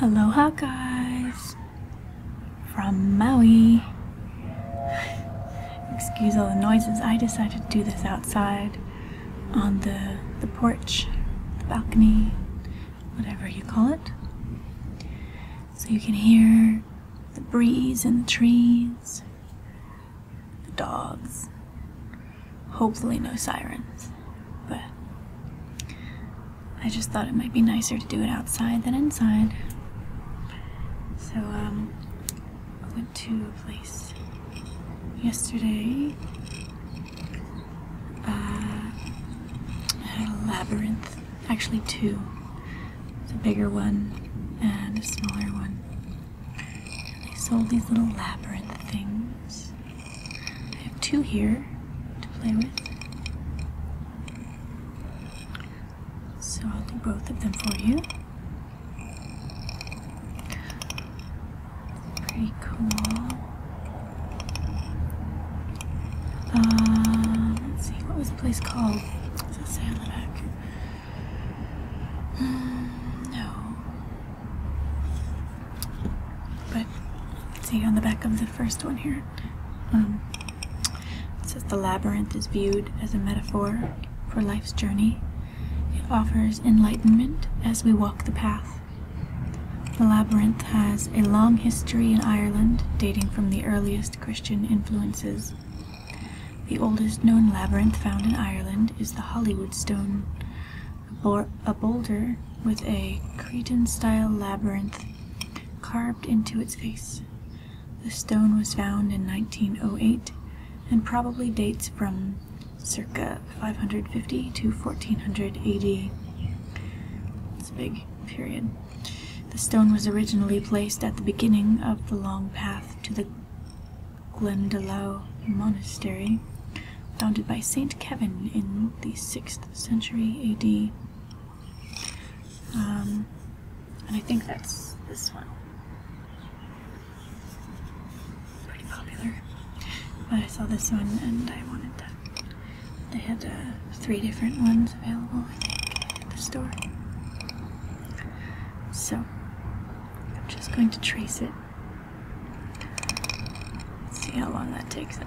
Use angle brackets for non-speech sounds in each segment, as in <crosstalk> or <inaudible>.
Aloha guys from Maui. Excuse all the noises. I decided to do this outside on the the porch, the balcony, whatever you call it. So you can hear the breeze in the trees, the dogs. Hopefully, no sirens. But I just thought it might be nicer to do it outside than inside. So, um, I went to a place yesterday. I uh, had a labyrinth actually two. It's a bigger one and a smaller one. They sold these little labyrinth things. I have two here to play with. So I'll do both of them for you. Pretty cool. Um, let's see, what was this place called? Mm, no. But see on the back of the first one here. Um, it says the labyrinth is viewed as a metaphor for life's journey. It offers enlightenment as we walk the path. The labyrinth has a long history in Ireland dating from the earliest Christian influences. The oldest known labyrinth found in Ireland is the Hollywood Stone, a, a boulder with a Cretan style labyrinth carved into its face. The stone was found in 1908 and probably dates from circa 550 to 1400 AD. It's big period. The stone was originally placed at the beginning of the long path to the Glendalough Monastery, founded by Saint Kevin in the 6th century AD. Um, and I think that's this one. Pretty popular. But I saw this one and I wanted that. They had uh, three different ones available, at the store. So, I'm just going to trace it. see how long that takes us.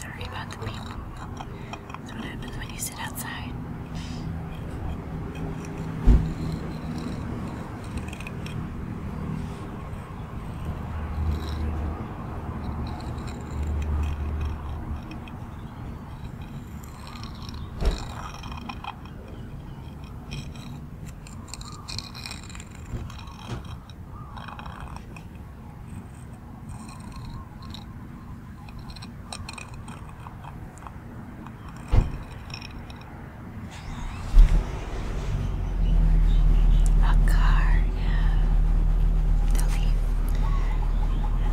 Sorry about the people. That's what happens when you sit outside. A car, yeah.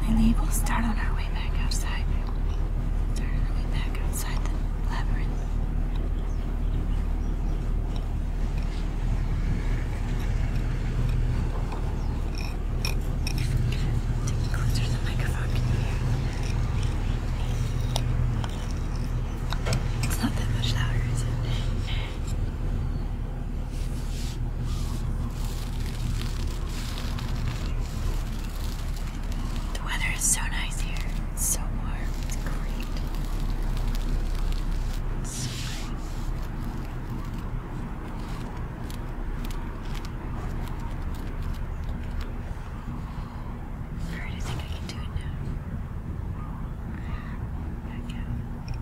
they we'll start on our way back outside. Start on our way back outside the labyrinth. Closer to the microphone, It's not that much louder, is it? The weather is so nice here. It's so hard. It's great. so great. All right, I think I can do it now. Back out.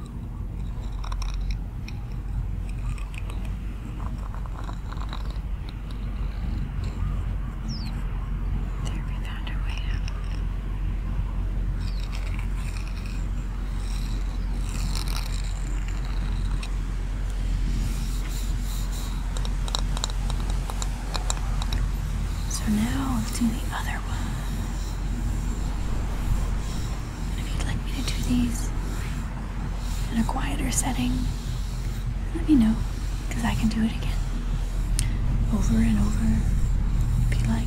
There we found our way up. So now let's do the other if you'd like me to do these in a quieter setting, let me know, I can do it again. Over and over, if like.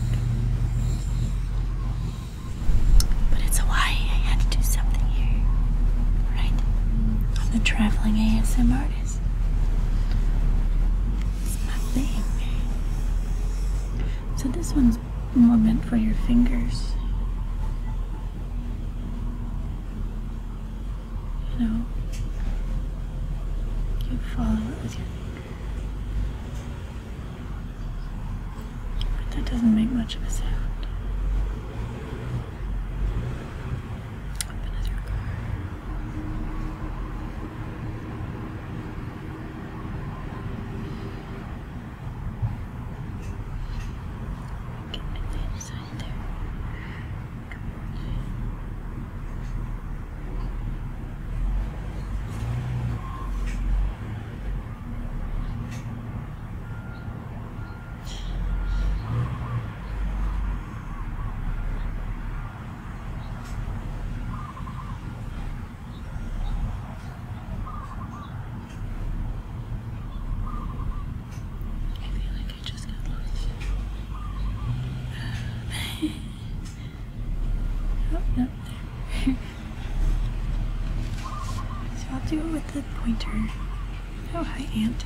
But it's Hawaii, I had to do something here, right? I'm the traveling ASM artist. It's my thing. So this one's more meant for your fingers. You know, you follow it with your fingers, But that doesn't make much of a sound. Open as your car. Okay, and the other side there. Come on. I feel like I just got lost. <laughs> oh, no, <laughs> so I'll do it with the pointer. Oh, hi, Aunt.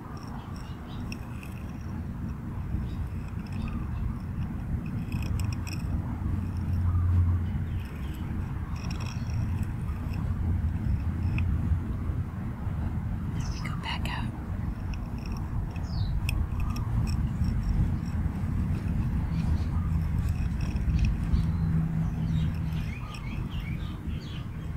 Now we go back out.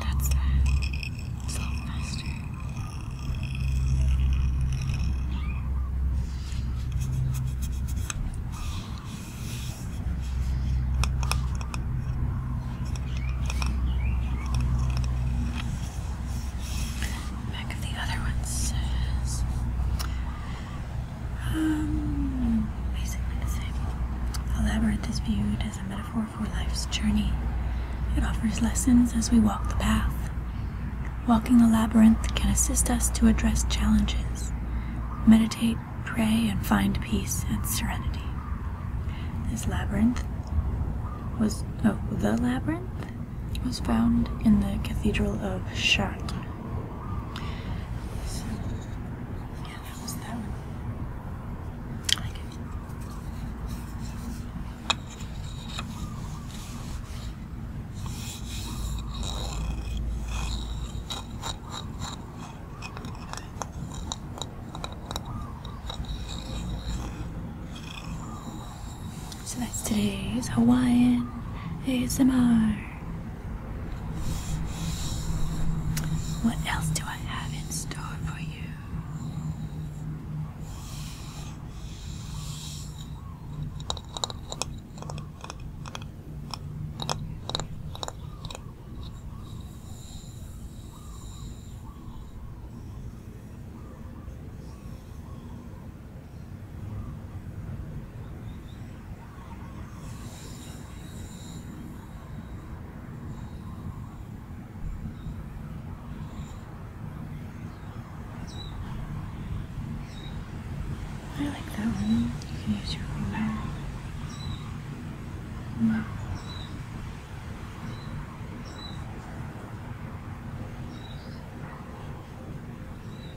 That's that. Slow Back of the other one um, basically the same. The labyrinth is viewed as a metaphor for life's journey. It offers lessons as we walk the path. Walking the labyrinth can assist us to address challenges, meditate, pray, and find peace and serenity. This labyrinth was, oh, the labyrinth was found in the Cathedral of Chartres that was that one. So that's today's Hawaiian ASMR. What else do I have in store for you? I like that one. You can use your finger. Wow.